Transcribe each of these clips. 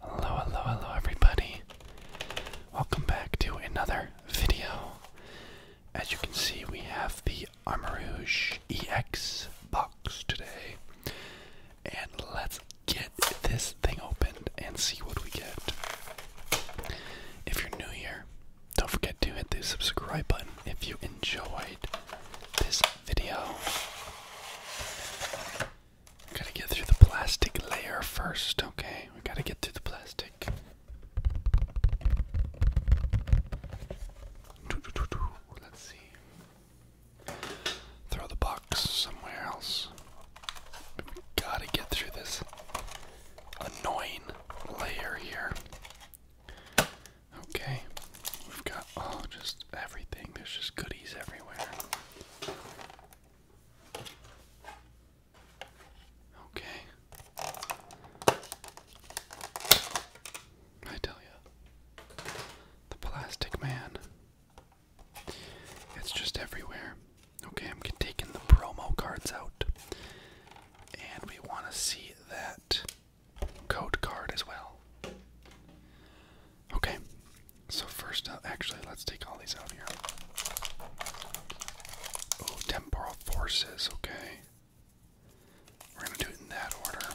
Hello, hello, hello, everybody. Welcome back to another video. As you can see, we have the Armourouge EX box today. And let's get this thing opened and see what we get. If you're new here, don't forget to hit the subscribe button if you enjoyed this video. We gotta get through the plastic layer first, okay? We gotta get through the plastic. Let's see. Throw the box somewhere else. But we gotta get through this annoying layer here. Okay, we've got oh, just everything. There's just goodies everywhere. Okay. I tell you, the plastic man. It's just everywhere. Okay, I'm taking the promo cards out. And we want to see that code card as well. Okay, so first up, uh, actually, let's take all these out here. Oh, temporal forces, okay. We're going to do it in that order.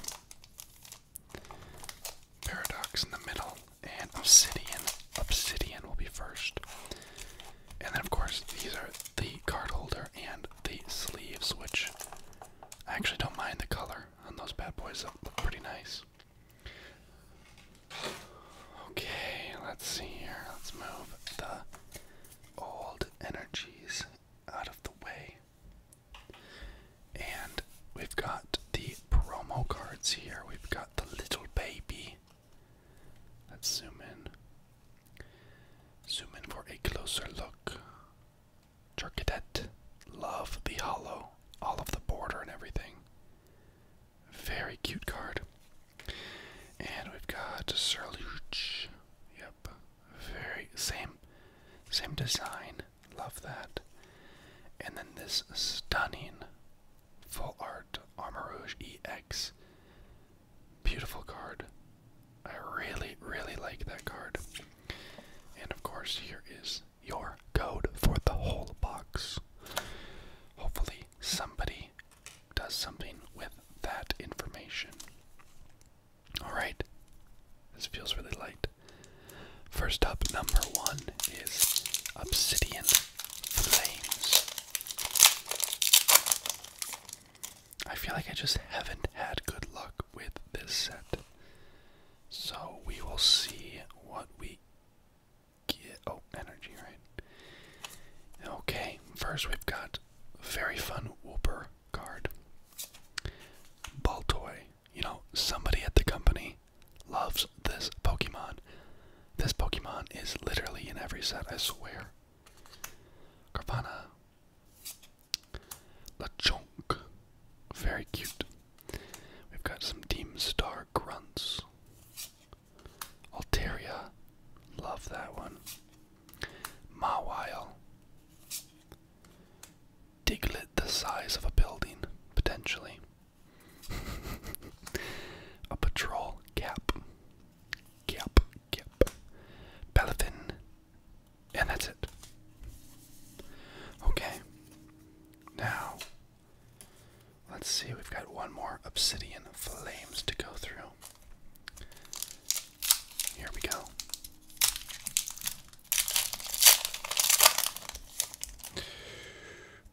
Paradox in the middle, and obsidian. Obsidian will be first. And then, of course, these are the card holder and the sleeves, which I actually don't mind the color on those bad boys. look pretty nice. Okay, let's see here. Let's move the old energies out of the way. And we've got the promo cards here. We've got the little baby. Let's zoom in. Zoom in for a closer look. Turcadet. Love the hollow, all of the border and everything. Very cute card. And we've got Sir Surluge. Yep. Very same same design. Love that. And then this stunning full art Armor Rouge EX. Beautiful card. I really, really like that card. And of course, here is your code for the whole box. Hopefully, somebody does something with that information. Alright, this feels really light. First up, number one is Obsidian Flames. I feel like I just haven't had good luck with this set. So we will see what we get. Oh, energy, right? Okay, first we've got very fun Whooper card. Ball toy. You know, somebody at the company loves this Pokemon. This Pokemon is literally in every set, I swear. Carvana. chunk. Very cute. We've got some Team Star Grunts. Alteria, Love that one. Mawile. Diglet the size of a building, potentially. a patrol cap. Cap, cap. Pelothin and that's it. Okay. Now, let's see, we've got one more obsidian flames to go through. Here we go.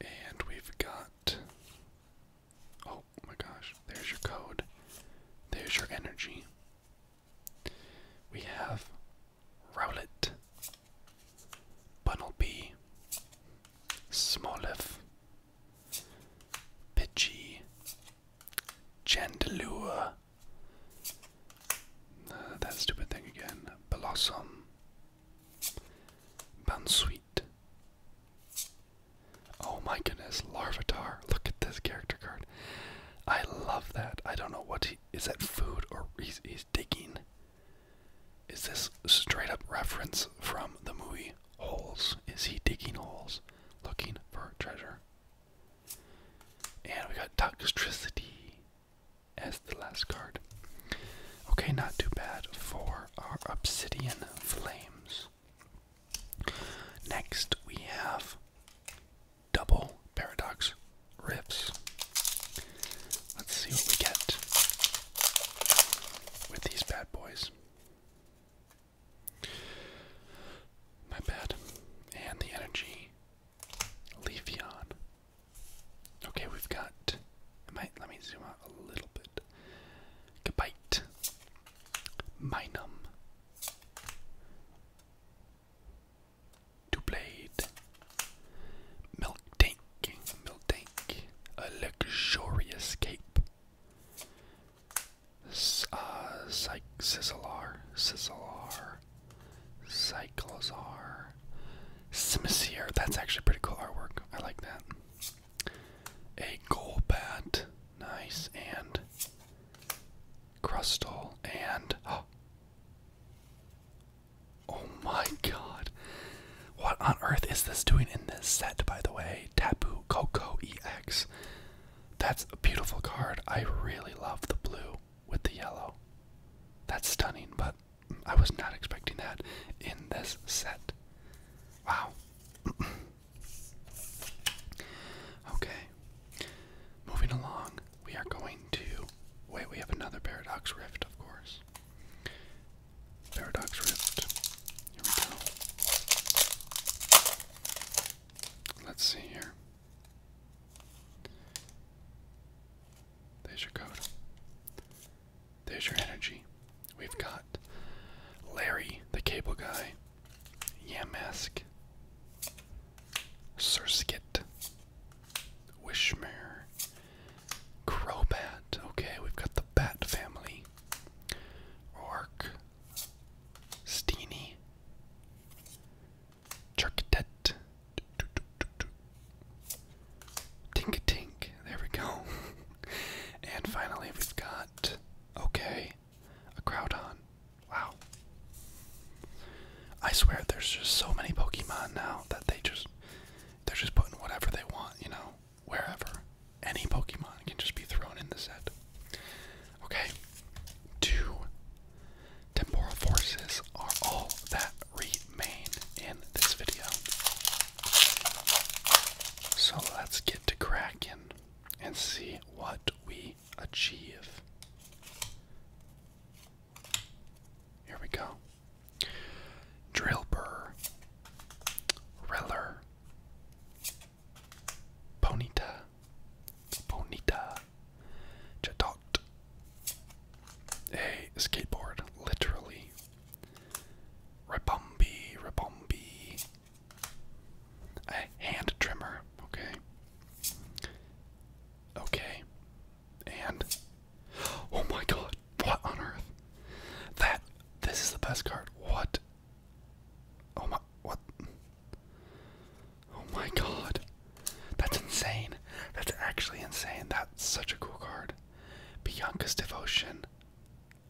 And we've got. Oh my gosh, there's your code. There's your energy. We have Rowlet, Bunnelby, Smoliv, Pidgey, Chandelure, that stupid thing again, Blossom, Bounsweet. Oh my goodness, Larvitar. Look at this character card. I love that. I don't know what is that food or he's, he's digging? Is this straight up reference from the movie Holes? Is he digging holes looking for treasure? And we got Toxtricity as the last card. Okay, not too bad for our Obsidian Flames. Next we have double paradox riffs. Let's see what we get with these bad boys. My bad. And the energy. Leafeon. Okay, we've got. let me zoom out a little bit. Gabite. Minum. To blade. Milk tank. Milk tank. A luxurious cape. S uh, Psych Sizzlar. That's actually pretty cool artwork. I like that. A gold bat. Nice. And. Crustal. And. Oh, Oh my god. What on earth is this doing in this set, by the way? Tapu Coco EX. That's a beautiful card. I really love the blue with the yellow. That's stunning, but I was not expecting that in this set. Wow. okay. Moving along we are going to. Wait, we have another Paradox Rift, of course. Paradox Rift. Here we go. Let's see here. There's your code. There's your energy. We've got Larry, the cable guy, Yamask, Surskit, Wishmare, Crowbat. Okay, we've got the Bat family. Rourke, Steenie, Churkitet, Tink Tink. There we go. and finally, we've got okay, a Crowdon. Wow. I swear there's just so many Pokemon now that they just they're just putting whatever they want, you know, wherever. Any Pokemon can just be thrown in the set. Okay. Two temporal forces are all that remain in this video. So let's get to cracking and see what we achieve. Here we go. Drill burr, reller, ponita, ponita, chadot, a skateboard, literally, ribombi, ribombi, a hand trimmer, Okay. Okay. And oh my god, what on earth? That this is the best card. What? Oh my what? Oh my god. That's insane. That's actually insane. That's such a cool card. Bianca's devotion.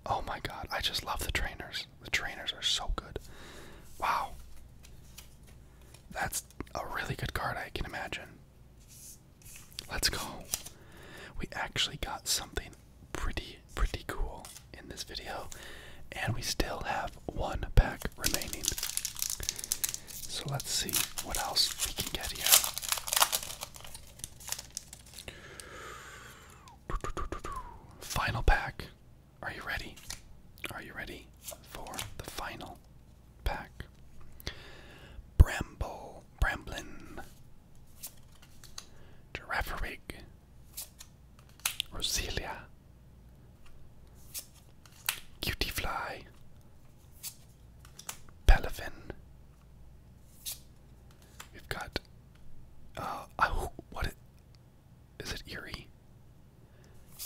Oh my god, I just love the trainers. The trainers are so good. Wow. That's a really good card, I can imagine. Let's go. We actually got something pretty, pretty cool in this video, and we still have one pack remaining. So let's see what else we can get here. Final pack. Are you ready? Are you ready for the final pack? Bramble, Bramblin, Girafarig, Roselia, Cutie Fly, Pelafin. We've got oh, what? Is it Eerie?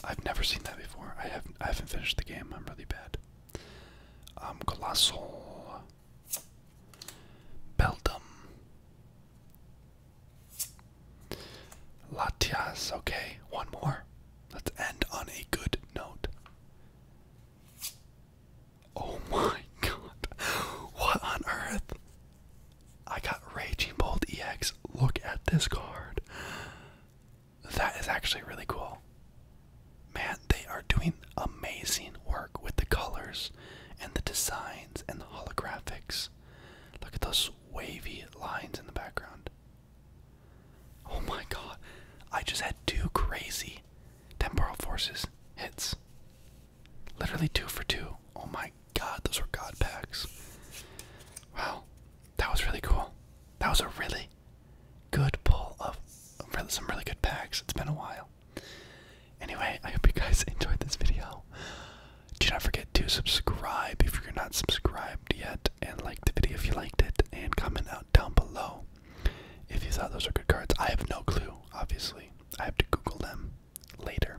I've never seen that before. I haven't I haven't finished the game. I'm really bad. Um Colossal Beldum Latias, okay, one more. Let's end on a good note. Oh my god. What on earth? I got Raging Bolt EX. Look at this card. That is actually really cool. Man, they are doing amazing work with the colors and the designs and the holographics. Look at those wavy lines in the background. Oh my god, I just had two crazy temporal forces hits. Literally two for two. Oh my God, those were God packs. Wow, that was really cool. That was a really good pull of some really good packs. It's been a while. Anyway, I hope you guys enjoyed this video. Do not forget to subscribe if you're not subscribed yet, and like the video if you liked it, and comment out down below if you thought those were good cards. I have no clue, obviously. I have to Google them later